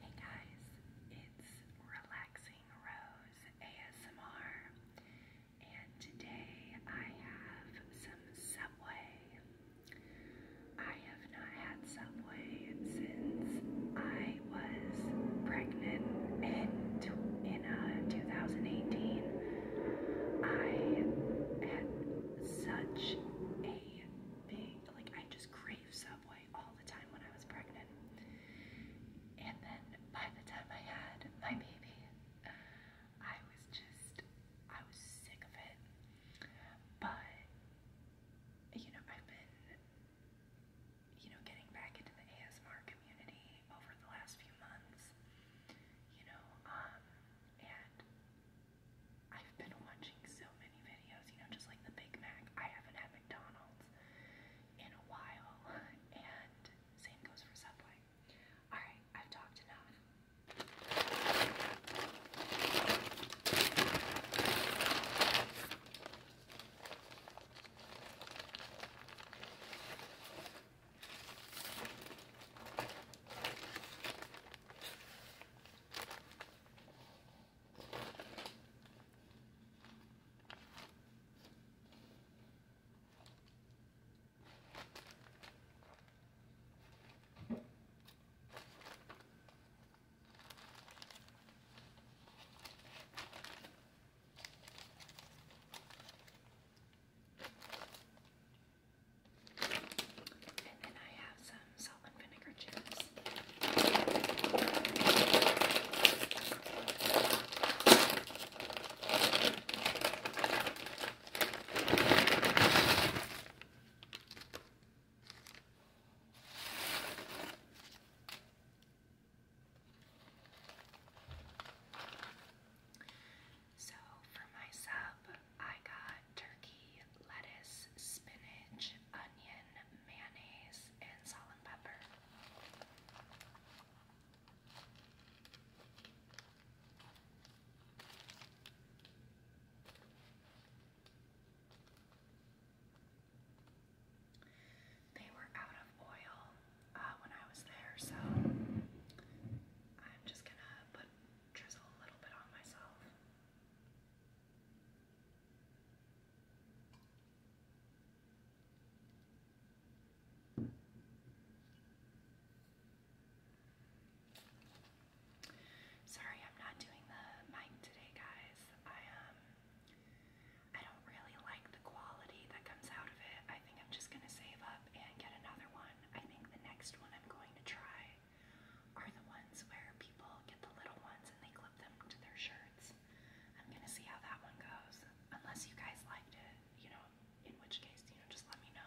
Hey guys, it's Relaxing Rose ASMR, and today I have some Subway. I have not had Subway since I was pregnant and in uh, 2018. I had such a big, like, I just crave Subway all the time when I was pregnant. And then by the time I had my baby, I was just, I was sick of it. But, you know, I've been, you know, getting back into the ASMR community over the last few months, you know, um, and I've been watching so many videos, you know, just like the Big Mac. I haven't had McDonald's in a while, and same goes for Subway. Alright, I've talked enough. And then I have some some salt and vinegar chips. So for my sub, I got turkey lettuce, spinach, onion, mayonnaise, and salt and pepper. They were out of oil uh, when I was there, so I'm just gonna put drizzle a little bit on myself. Sorry, I'm not doing the mic today, guys. I um I don't really like the quality that comes out of it. I think I'm just gonna save up and get another one. I think the next one I'm going to try are the ones where people get the little ones and they clip them to their shirts. I'm gonna see how that one goes. Unless you guys liked it, you know, in which case, you know, just let me know.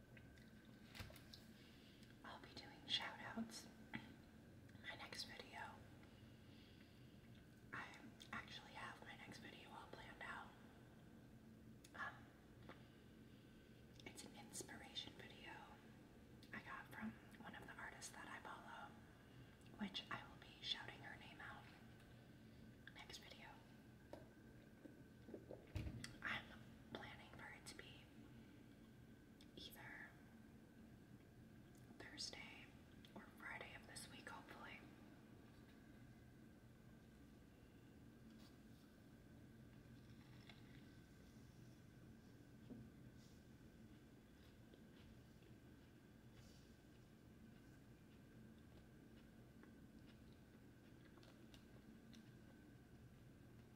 I'll be doing shout outs my next video. I actually have my next video all planned out. Um, it's an inspiration video I got from one of the artists that I follow, which I will be shouting her name out next video. I'm planning for it to be either Thursday or Friday of this week, hopefully.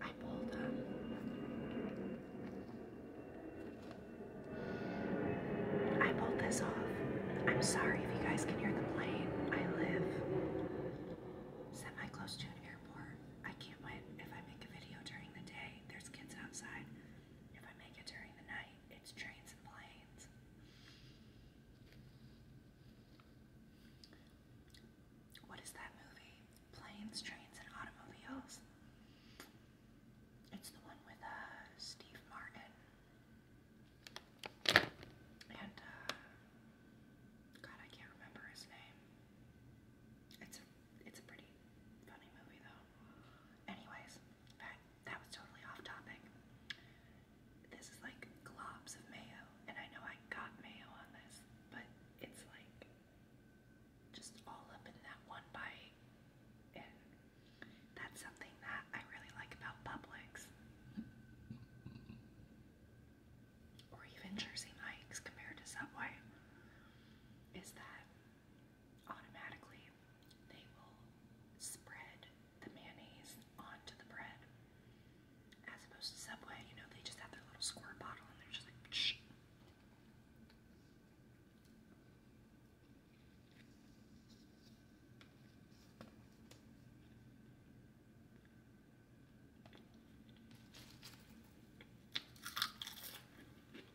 I pull them. I pulled this off. I'm sorry if you guys can hear the plane. I live semi close to an airport. I can't wait if I make a video during the day there's kids outside. If I make it during the night, it's trains and planes. What is that movie? Planes, Trains, and Automobiles. It's the one with uh, Steve Martin and uh, God, I can't remember his name. It's a pretty funny movie, though. Anyways, that, was totally off topic. This is like globs of mayo, and I know I got mayo on this, but it's like just all up in that one bite. And that's something that I really like about Publix. or even Jersey Mike's compared to Subway, is that automatically they will spread the mayonnaise onto the bread. As opposed to Subway, you know, they just have their little squirt bottle and they're just like, Shh.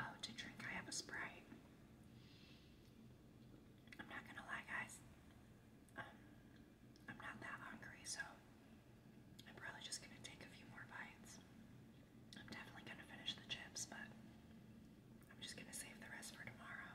Oh, to drink, I have a Sprite. I'm not gonna lie, guys. Um, I'm not that hungry, so I'm probably just gonna take a few more bites. I'm definitely gonna finish the chips, but I'm just gonna save the rest for tomorrow.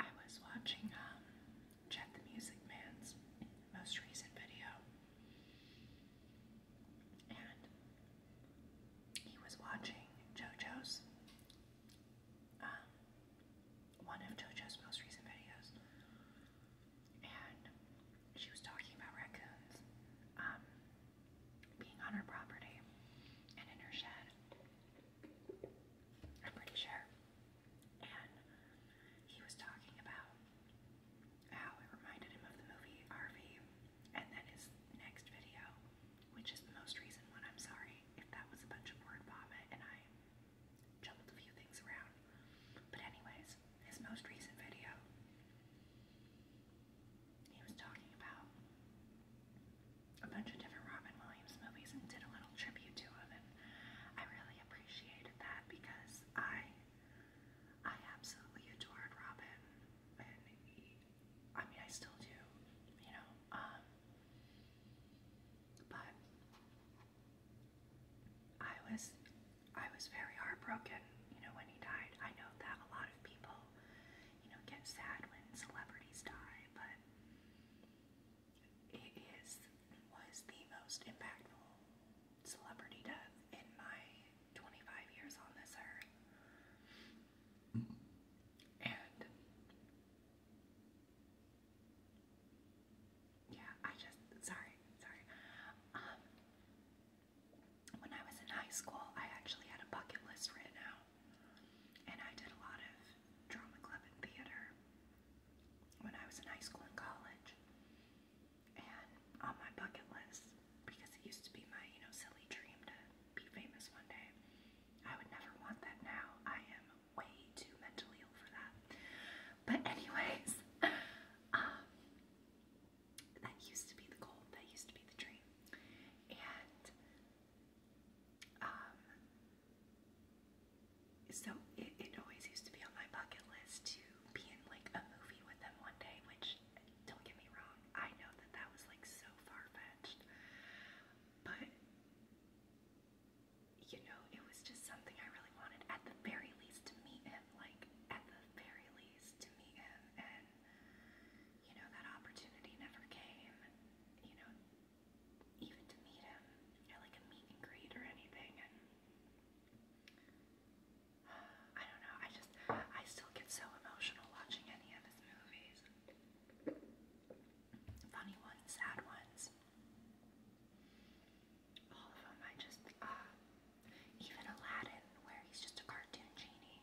I was watching um, Jet the Music Man's most recent video, and he was watching JoJo's um, one of JoJo's most recent videos, and she was talking about raccoons um, being on her property and in her shed. I'm pretty sure. And he was talking about how it reminded him of the movie RV. And then his next video, which is the most recent one, I'm sorry if that was a bunch of word vomit and I jumbled a few things around. But anyways, his most recent video, he was talking about a bunch of different Robin Williams movies and did a little tribute to him, I really appreciated that because I, I absolutely adored Robin, and I mean I still do, you know. Um, but I was I was very heartbroken, you know, when he died. I know that a lot of people, you know, get sad when celebrities die, but it is was the most impactful celebrity death in my 25 years on this earth. Mm-hmm. And yeah, I just sorry, sorry. Um when I was in high school I actually had a bucket list right now, And I did a lot of drama club and theater when I was in high school and college. And on my bucket list, because it used to be my, you know, silly dream to be famous one day. I would never want that now. I am way too mentally ill for that. But anyways, um, that used to be the goal. That used to be the dream. And um, so it, it always used to be on my bucket list to be in like a movie with them one day. Which don't get me wrong, I know that that was like so far fetched, but you know, it was just something I really wanted at the very least to meet him, like, at the very least to meet him. And, you know, that opportunity never came, you know, even to meet him at like a meet and greet or anything. And I don't know, I just, I still get so emotional watching any of his movies funny ones, sad ones. All of them, I just, uh, even Aladdin, where he's just a cartoon genie.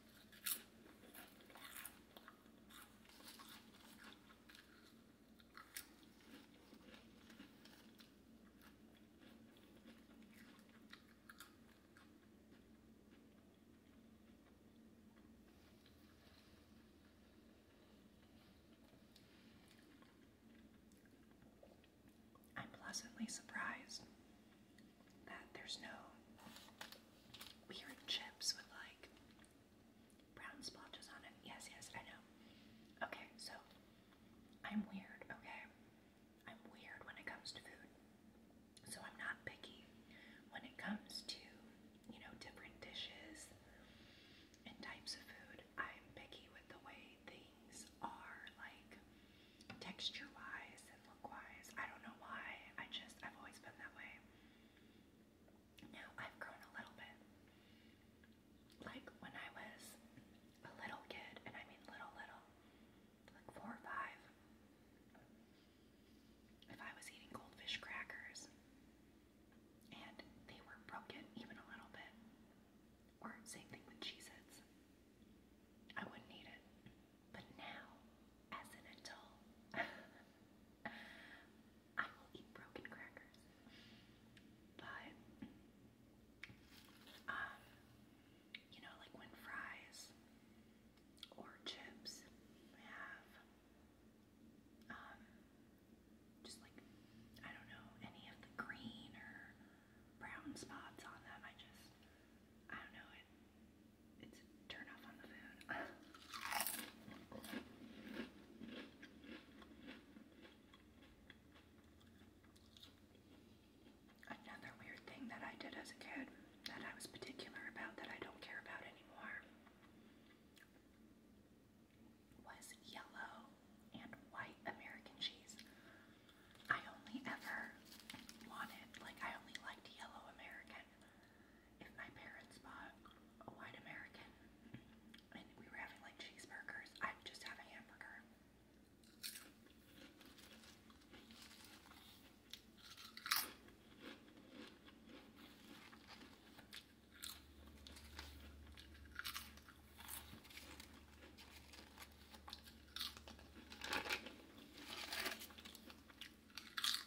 I'm pleasantly surprised that there's no weird chips with like brown splotches on it. Yes, yes, I know. Okay, so I'm weird, okay? I'm weird when it comes to food. So I'm not picky when it comes to, you know, different dishes and types of food. I'm picky with the way things are, like texture wise and I don't know why. I just, I've always been that way. Now I've grown a little bit. Like when I was a little kid, and I mean little, little, like four or five, if I was eating goldfish crackers and they were broken even a little bit, or same thing with Cheez I wouldn't eat it. But now as an adult, I will eat broken crackers. But, um, you know, like when fries or chips have, um, just like, I don't know, any of the green or brown spots on them, I just, I don't know, it it's turn off on the food. Another weird thing that I did as a kid that I was particular about that I don't care about anymore was yellow and white American cheese. I only ever wanted, like, I only liked yellow American if my parents bought a white American and we were having like cheeseburgers, I'd just have a hamburger.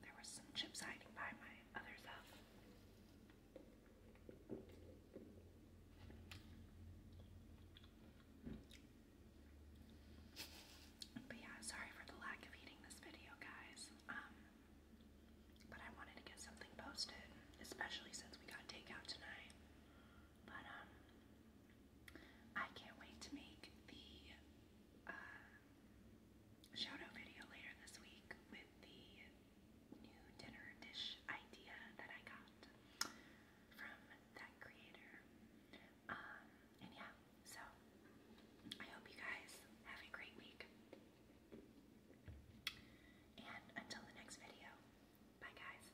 There was some chips hiding by my other thumb. But yeah, sorry for the lack of eating this video, guys. Um, but I wanted to get something posted, especially since we got takeout tonight. But um, I can't wait to make the uh, shout video later this week with the new dinner dish idea that I got from that creator. Um, and yeah, so I hope you guys have a great week. And until the next video, bye guys.